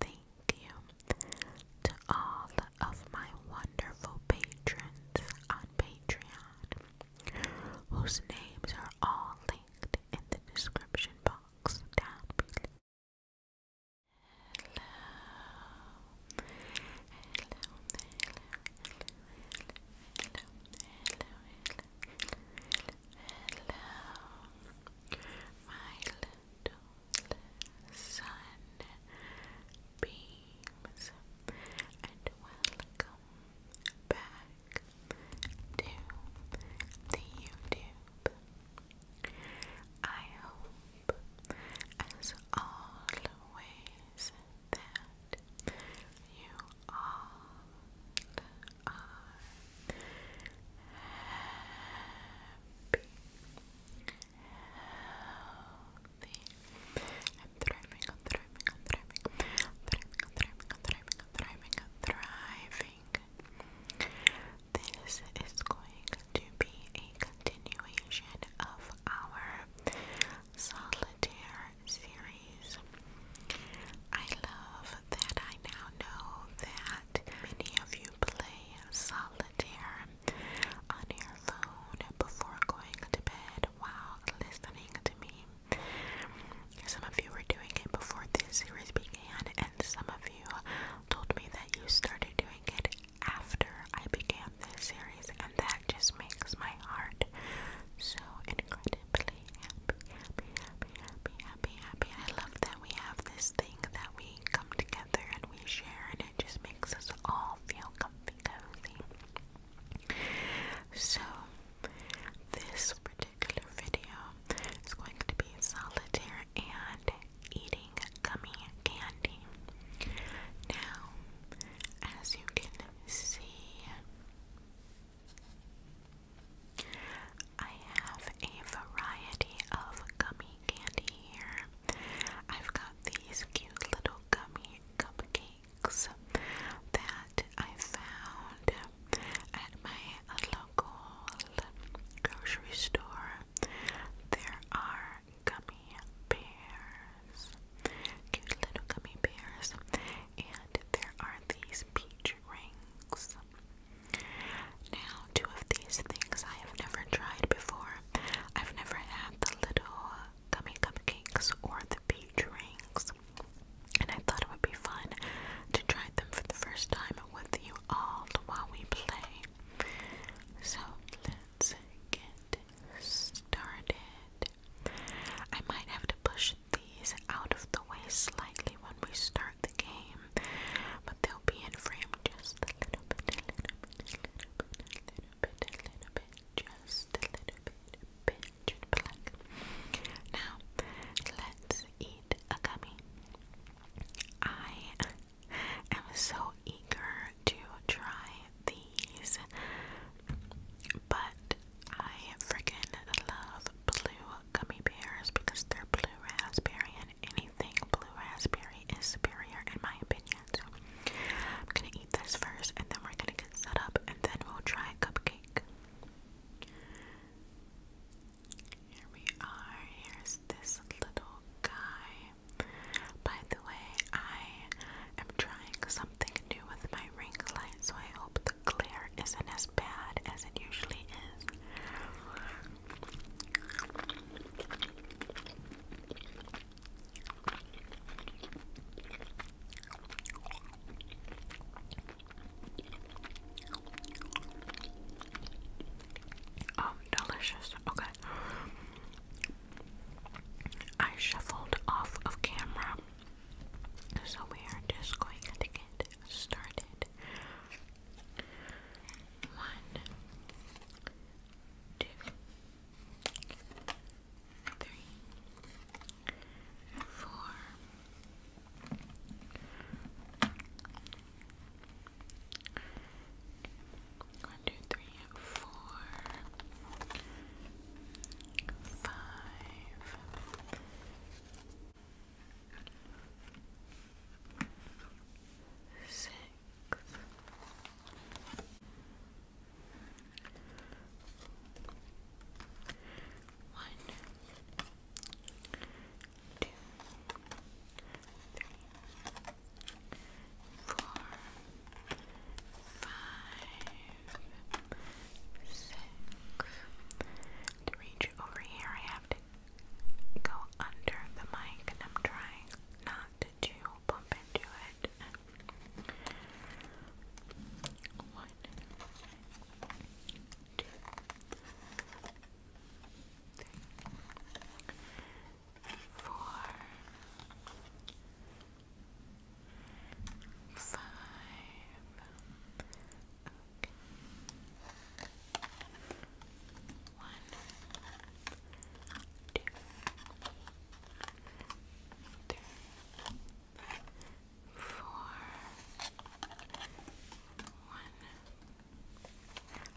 Thank you to all of my wonderful patrons on Patreon, whose names are all linked in the description box down below. Hello. My little sun and welcome back to YouTube. I hope, as always, that you are healthy. thriving, thriving, thriving, thriving, thriving, thriving. This is going to be a continuation of our solitaire series. I love that I now know that many of you play solitaire on your phone before going to bed while listening to me. Some of you were doing it before this series began, and some of you told me that you started doing it after I began this series, and that just makes my heart so incredibly happy, happy, happy. I love that we have this thing that we come together and we share, and it just makes us all feel comfy, cozy. So, this particular video is going to be solitaire and eating gummy candy. Now, as you can see, I have a variety of gummy candy here. I've got these cute little gummy cupcakes that I found at my local grocery store. There are gummy bears, cute little gummy bears, and there are these peach rings. Now, two of these things I have never tried before. I've never had the little gummy cupcakes or the peach rings, and I thought it would be fun to try them for the first time with you all while we play. So let's get started. I might have to push these out of the way slightly when we start the game, but they'll be in frame just a little bit, little bit, little bit, little bit, little bit, just a little bit, pinch and Now, let's eat a gummy. I am so eager to try these, but I freaking love blue gummy bears because they're blue raspberry anything, blue raspberry is superior in my opinion. I'm gonna eat this first and then we're gonna get set up and then we'll try cupcake. Here we are. Here's this little guy. By the way, I am trying something new with my ring light, so I hope the glare isn't as bad as it usually is. Oh, delicious. Okay. I shuffled off of camera, so we are just going to get started one, two, three, four, one, two, three, four, five. Six, six, one, two, three, four, five, six. To reach over here, I have to go under the mic and I'm trying not to bump into it. One, two, three, four, five, one, two, three, four. One.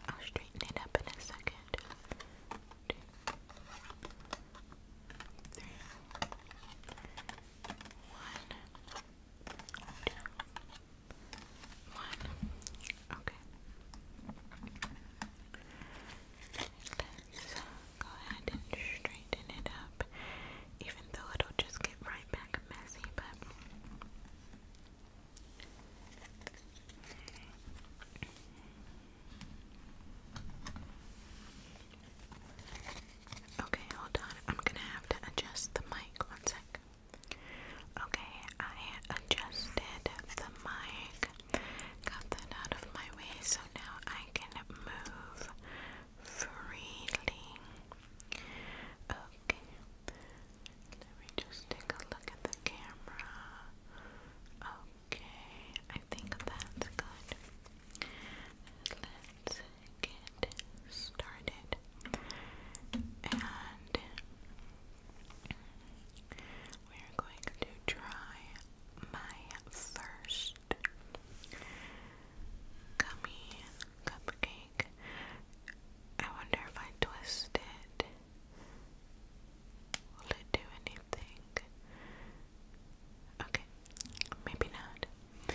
I'll straighten it up in a second. Two, three, one. One. Okay. go ahead and straighten it up, even though it'll just get right back messy, but. Okay, hold on. I'm gonna have to adjust the mic one sec. Okay, I adjusted the mic, got that out of my way so now I can move freely. Okay, let me just take a look at the camera. Okay, I think that's good. let get started. And we're going to try my first gummy cupcake. I wonder if I twist it. Will it do anything? Okay, maybe not.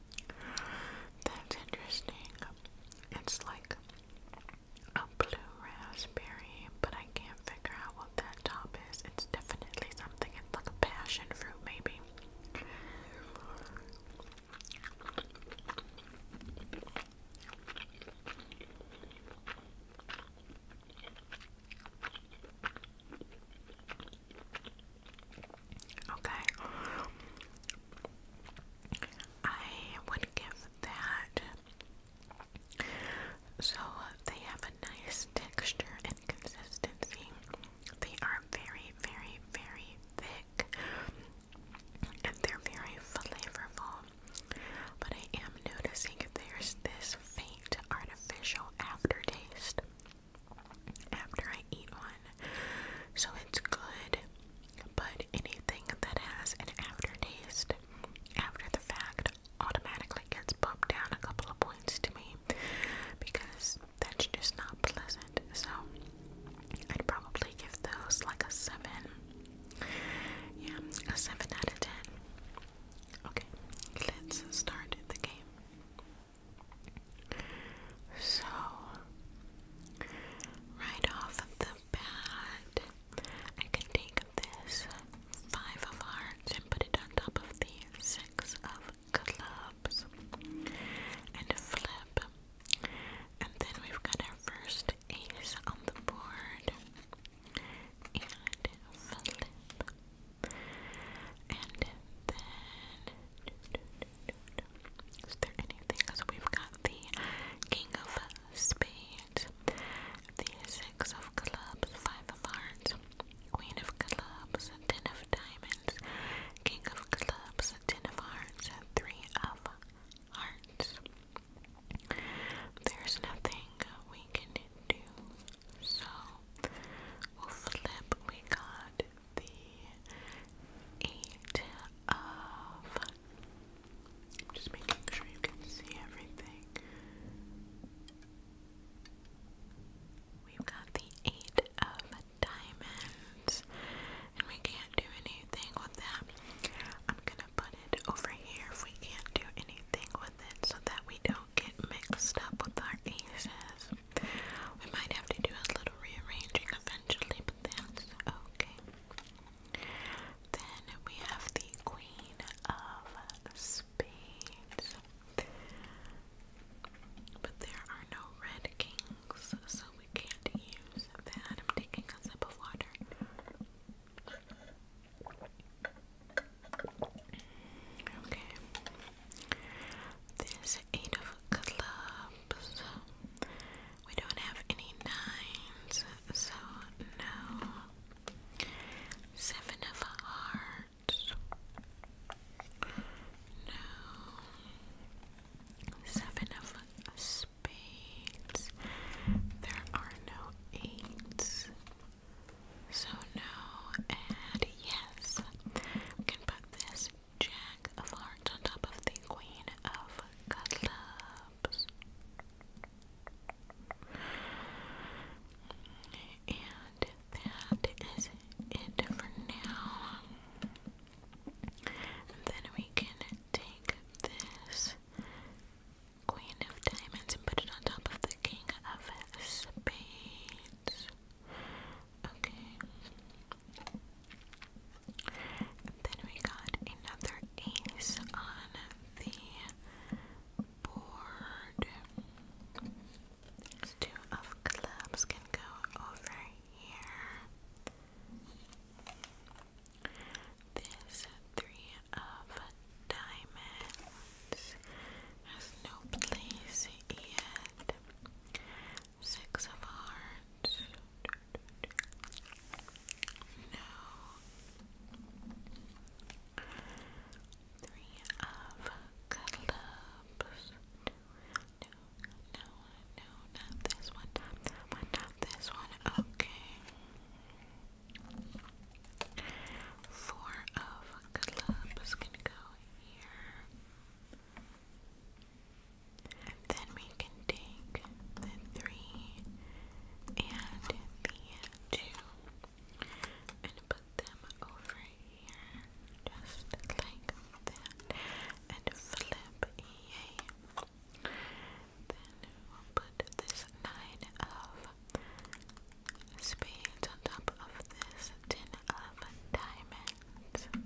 That's interesting. It's like a blue raspberry, but I can't figure out what that top is. It's definitely something. It's like a passion fruit, maybe. Okay, I would give that. So they have a nice texture and consistency. They are very, very, very thick and they're very flavorful. But I am noticing there's this faint artificial aftertaste after I eat one so it's good. But anything that has an aftertaste after the fact automatically gets bumped down a couple of points to me because that's just not pleasant. So I'd probably give those like a 7. Yeah, a 7 out of 10. Okay, let's start the game. So, right off the bat, I can take this five of hearts and put it on top of the six of clubs and flip. And then we've got our first ace on the board and flip. And then is there anything? So we've got the King of Spades, the Six of Clubs, Five of Hearts, Queen of Clubs, Ten of Diamonds, King of Clubs, Ten of Hearts, Three of Hearts. There's nothing we can do, so we'll flip. We got the eight of. just making sure you can see everything. We've got the eight of diamonds, and we can't do anything with that. I'm gonna put it over here if we can't do anything with it so that we don't get mixed up with our aces. We might have to do a little rearranging eventually, but that's okay. Then we have the Queen of Spades. But there are no red kings, so we can't use that. I'm taking a sip of water. Okay. This Eight of clubs. We don't have any nines, so no. Seven of hearts. No. Seven of spades. There are no eights. So no and yes. We can put this Jack of Hearts on top of the Queen of Clubs. And that is it for now. then we can take this Queen of Diamonds and put it on top of the King of Spades. Okay. And then we got another ace on the board. two of clubs can go over here. This three of diamonds has no place yet. Six of Hearts. No. Three of Clubs. No, no, no, not this one, this one. Okay. Four of Clubs. Gonna go here. And then we can take the three and the two and put them over here just like that and flip yay. Then we'll put this nine of spades on top of this ten of diamonds and flip.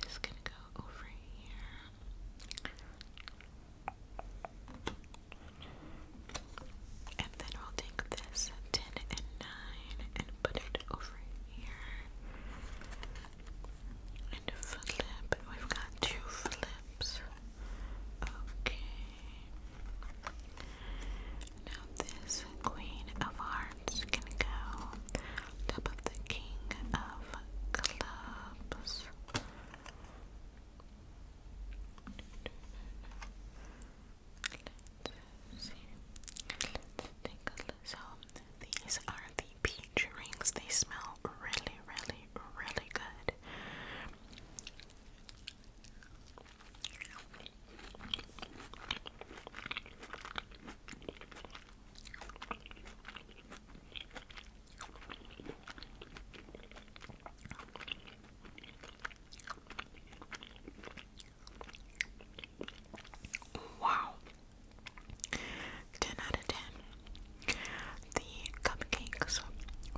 This is gonna go over here. And then we'll take this 10 and 9 and put it over here. And flip. We've got two flips. Okay. Now this Queen of Hearts can go top of the King of Clubs. So these are the peach rings. They smell really, really, really good. Wow. 10 out of 10. The cupcakes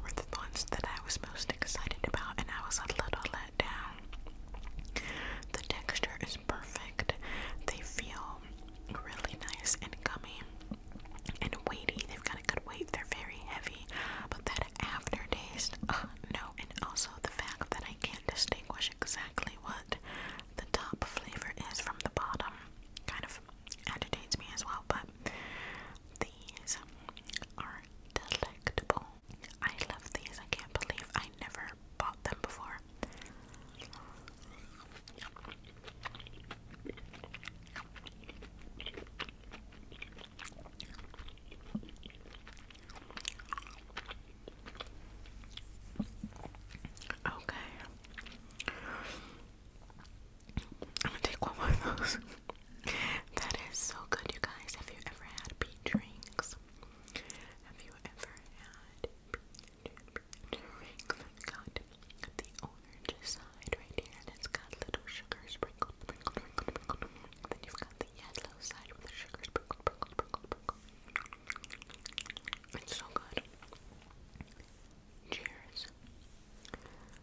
were the ones that I was most excited about, and I was a little let down. The texture is perfect, they feel really nice and gummy and weighty. They've got a good weight, they're very heavy, but that aftertaste, uh, no, and also the fact that I can't distinguish exactly what the top flavor is from the bottom kind of agitates me as well, but these are delectable. I love these. I can't believe I never bought them before. Okay. I'm gonna take one more of those. that is so good, you guys. Have you ever had beet drinks? Have you ever had beet drinks? We've got the orange side right here, and it's got little sugar sprinkled, then you've got the yellow side with the sugar sprinkled. It's so good. Cheers.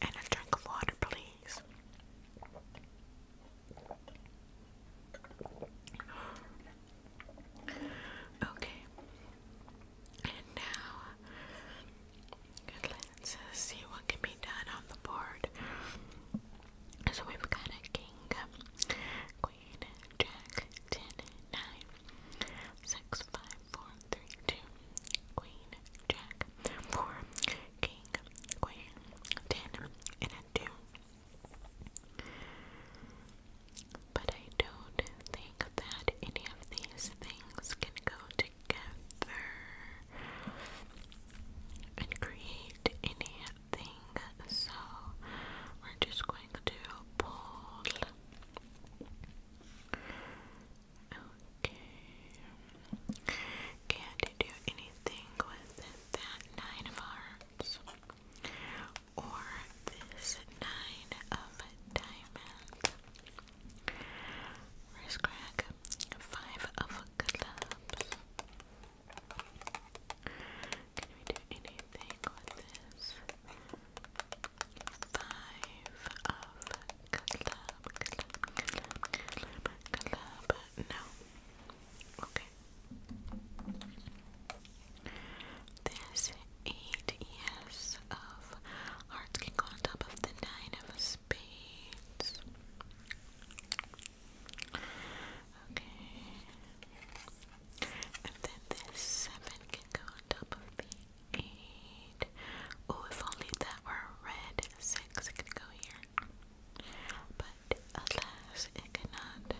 And a drink of water, please. Okay. And now let's see what can be done on the board. So we've got a king, queen, jack, ten, nine, six, five, four, three, two, queen, jack, four, king, queen, ten, and a two. But I don't think that any of these things can go together and create anything, so we're just going to pull Okay. Can't do anything with that nine of hearts or this nine of diamonds. Wrist crack, five of clubs. Can we do anything with this? Five of Club, club, club, club. No. Okay. This eight, yes, of hearts can go on top of the nine of spades. Okay. And then this seven can go on top of the eight. Oh, if only that were red to the six, it could go here. But alas, it cannot.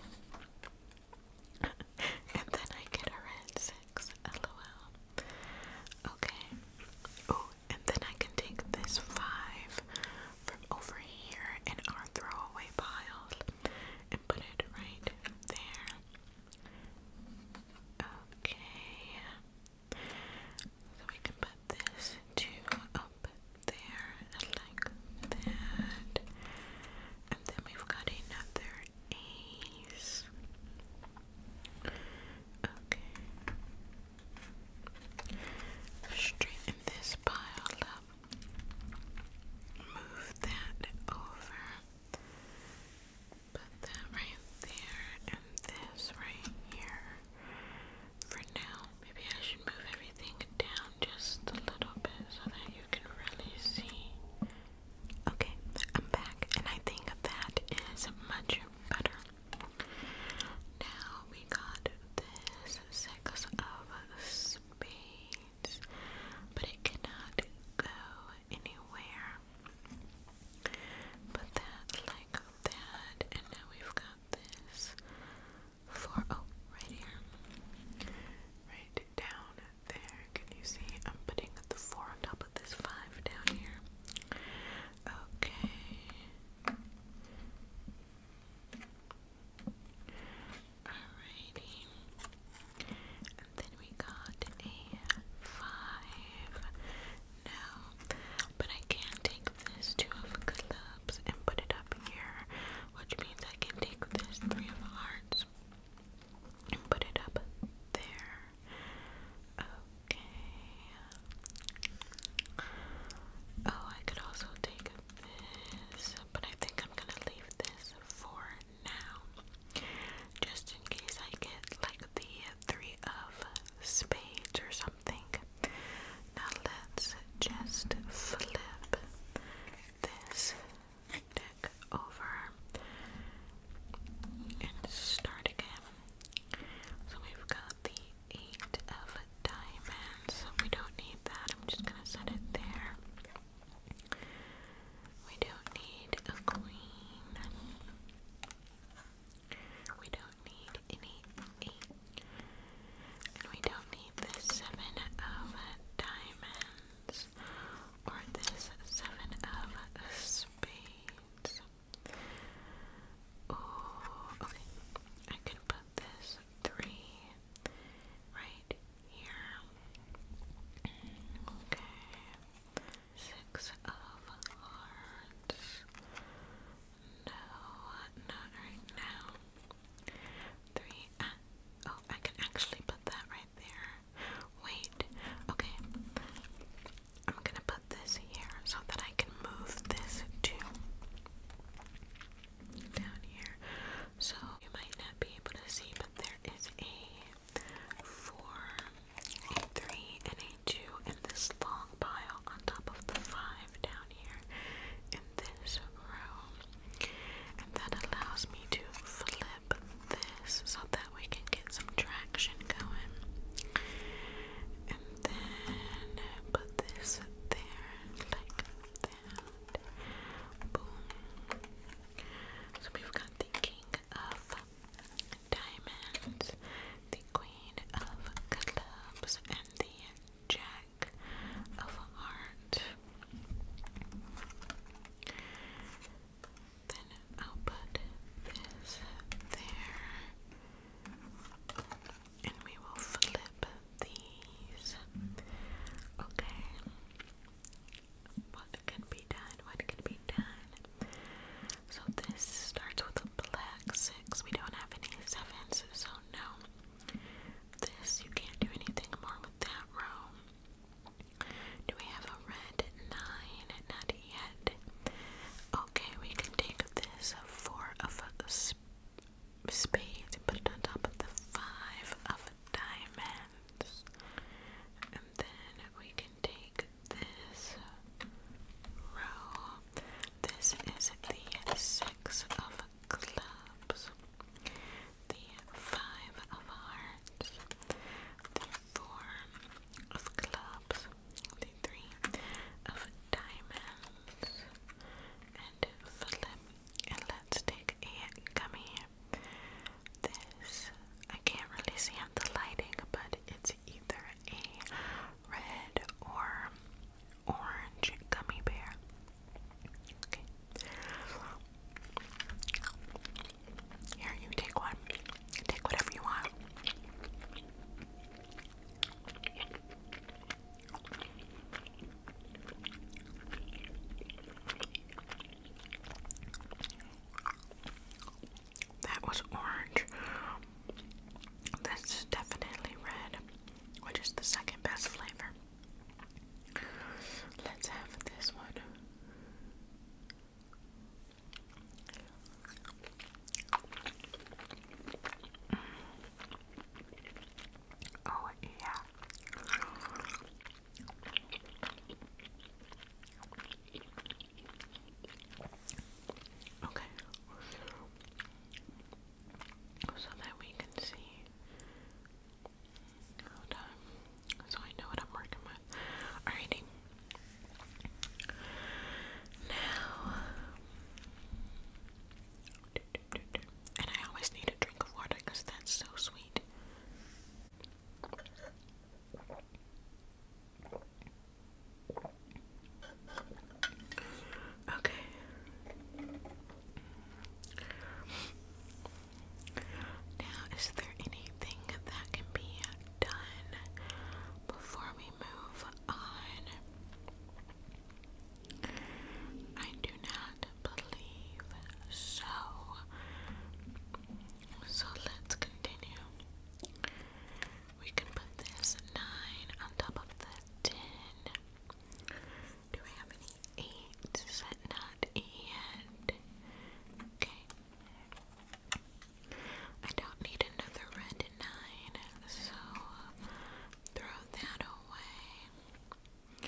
and then I get a red six, lol. Okay. Oh, and then I can take this five from over here in our throwaway pile and put it right there. Okay. So we can put this two up there like that. And then we've got another ace. Okay. Straighten this pile up. Move that over. Put that right there and this right here. For now, maybe I should move everything down just a little bit so that you can really see. Okay, I'm back, and I think that is much better. Now we got this six of spades, but it cannot go anywhere. But that like got that, and now we've got this for oh, right here. Right down there. Can you see? I'm putting the four on top of this five down here. Okay. Alrighty. And then we got a five now. But I can take this two of clubs and put it up here, which means I can take this three of hearts and put it up there. Okay. Oh, I could also take this, but I think I'm gonna leave this for now. Just in case I get like the three of spades or something. Now let's just flip this deck over and start again. So we've got the eight of diamonds. So we don't need that. I'm just gonna set it there. We don't need a queen. We don't need any eight. And we don't need this seven of diamonds or this seven of spades. Oh, okay. I can put this three right here. Okay. Six of hearts. No, not right now. Three. Uh, oh, I can actually put that right there. Wait. Okay. I'm gonna put this here so that I can move this to down here. So you might not be able to see, but there is a four a three and a two in this long pile on top of the five down here in this row. And that allows me to flip this so that we can get some traction going. And then put this there like that. Boom. So we've got the king of diamonds, the queen of clubs, and the jack of hearts. Then i this there, and we will flip these. Okay. What can be done? What can be done? So this starts with a black six. We don't have any sevens, so no. This, you can't do anything more with that row. Do we have a red nine? Not yet. Okay, we can take this four of a sp spades and put it on top of the five of diamonds then we can take this row. This is the six of clubs, the five of hearts, the four of clubs, the three of diamonds, and let's take a gummy. This I can't really see on the lighting, but it's either a red or orange gummy bear. Here, you take one. Take whatever you want. That was orange. This is definitely red, which is the second best flavor. Let's have this one. Oh, yeah. Okay. So that we can see. Hold So I know what I'm working with. Alrighty. Now. And I always need a drink of water because that's so sweet. Okay. Now, is there anything that can be done before we move on? I do not believe so. So let's continue. We can put this 9 on top of the 10. Do we have any 8s? Not yet. Okay. I don't need another red 9, so throw that away.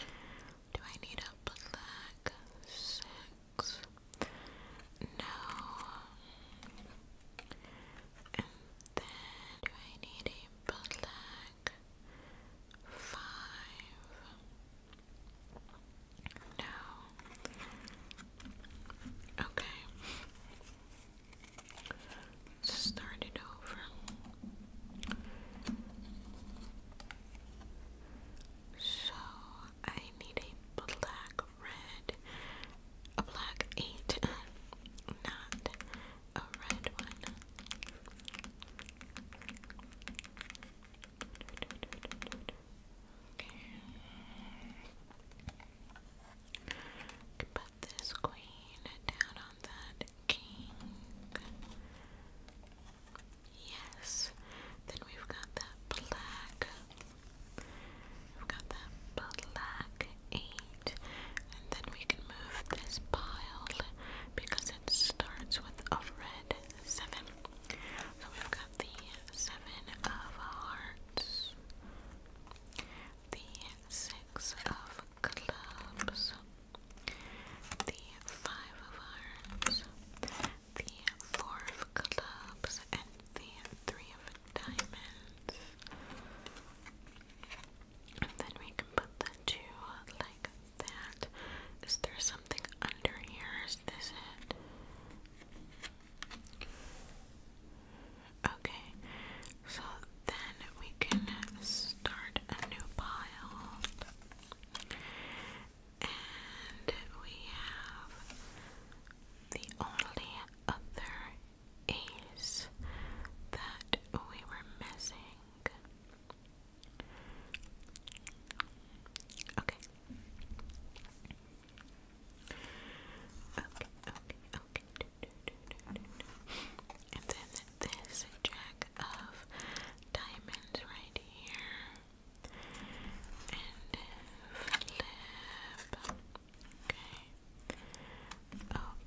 Do I need a black 6? No. And then do I need a bootleg? Five. No. Okay. Start it over. So I need a black red, a black eight, not a red one. Okay. Put this queen down on that king. Yes. Then we've got that black We've got that black eight, and then we can move this pile because it starts with a red seven. So we've got the seven of hearts, the six of clubs, the five of hearts, the four of clubs and the three of diamonds. And then we can put the two like that. Is there something under here? Is this it? Okay, so then we can start a new pile. And we have the only other ace that we were missing. Okay. Okay, okay, okay. Do, do, do, do, do, do. And then this jack of diamonds right here.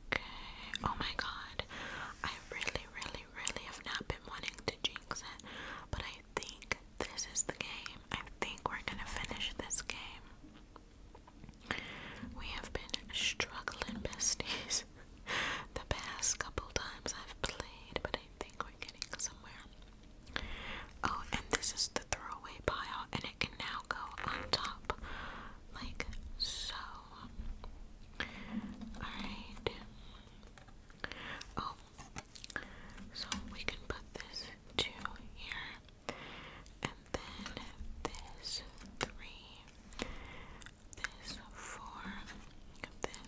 Okay. Oh my god. I really, really, really have not been wanting to jinx it, but I think this is the game. I think we're gonna finish this game. We have been struggling, besties, the past couple times I've played, but I think we're getting somewhere. Oh, and this is the throwaway pile, and it can now go on top, like so. Alright. Oh, so we can put this two here, and then this three, this four,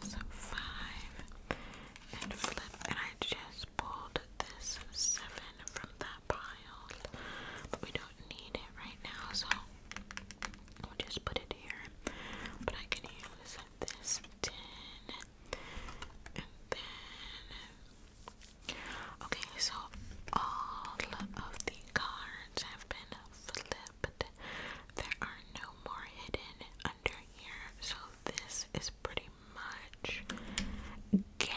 this five, and flip. And I just pulled this 7 from that pile, but we don't need it right now, so we'll just put it here. But I can use this 10, and then. Okay, so all of the cards have been flipped. There are no more hidden under here, so this is pretty much game.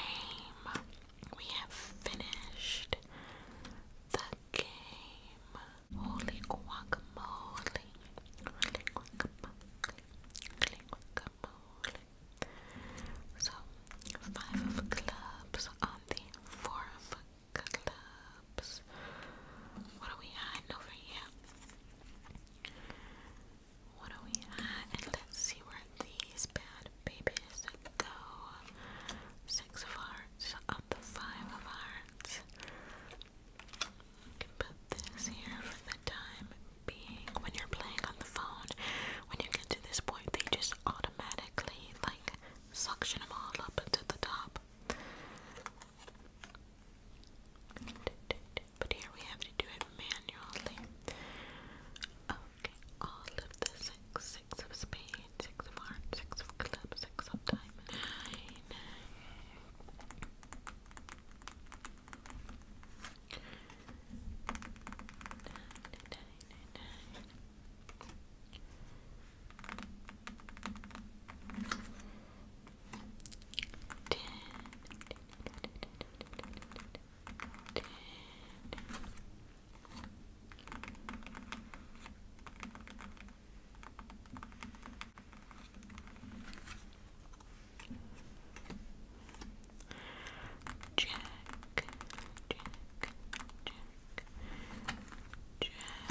We have finished the game. So, five of clubs on the four of clubs. What do we hiding over here? What are we at? And let's see where these bad babies go. Six of hearts up the five of hearts. You can put this here for the time being. When you're playing on the phone, when you get to this point, they just automatically like suction them all up to the top. But here we have to do it manually. Okay, all of the six, of spades, six of hearts, six of clubs, six of diamonds, nine. Nine, Jack, Jack, Jack, Jack. Jack,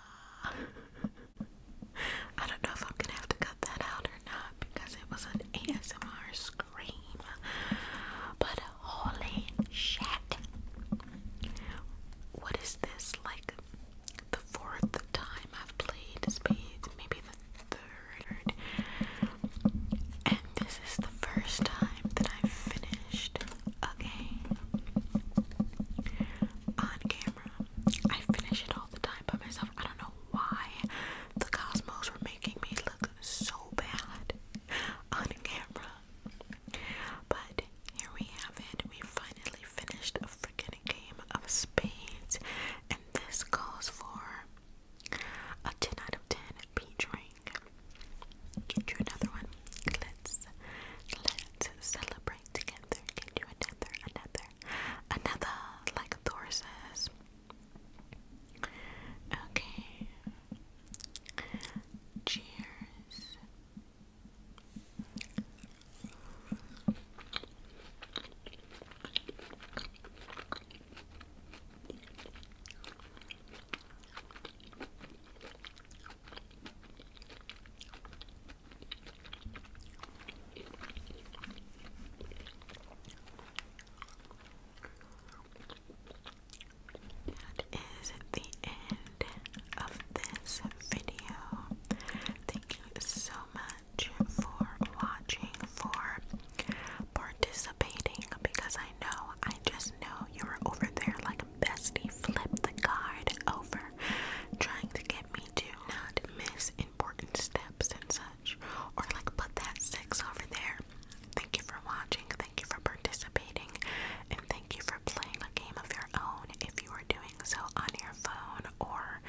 I don't know if I'm gonna have to cut that out or not because it was an ASMR scream. But holy shit. What is this? Like the fourth time I've played Spades, maybe the third. And this is the first time that I've finished Okay. On camera. I finish it all the time by myself. I don't know why the cosmos were making me look so bad on camera. But here we have it. We finally finished a freaking game of spades. And this calls for a 10 out of 10 peach ring. Get another one. Let's let's celebrate trying to get another, another, another, like Thor says. Okay. Cheers. That is the end of this video. Thank you so much for watching, for participating, because I know, I just know you were over there like bestie flipped the card over, trying to get me to not miss important steps and such, or like put that six over there. Thank you for watching, thank you for participating, and thank you for playing a game of your own if you are doing so on your phone or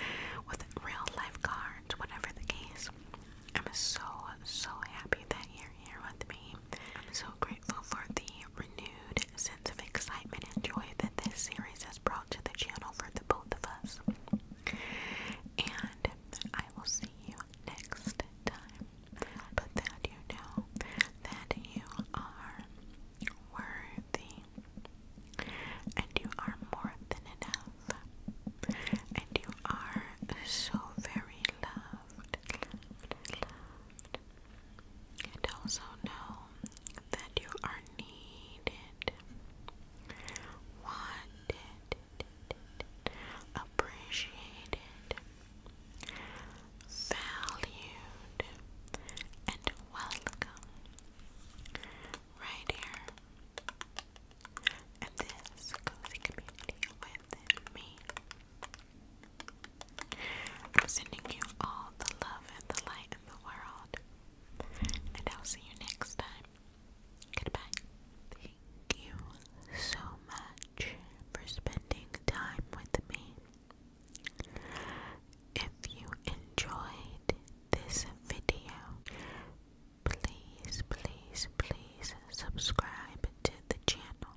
with real life whatever the case. I'm so, so happy that you're here with me. I'm so grateful for the renewed sense of excitement and joy that this series has brought to the channel for the both of us. And I will see you next time. But that you know that you are worthy, and you are more than enough, and you are so very loved, and also know that you are needed, wanted, appreciated, valued, and welcome right here in this cozy community with me. I'm sending you all the love and the light in the world. And I'll see you next time. Goodbye. Thank you so much for spending time with me. If you enjoyed this video, please, please, please subscribe to the channel.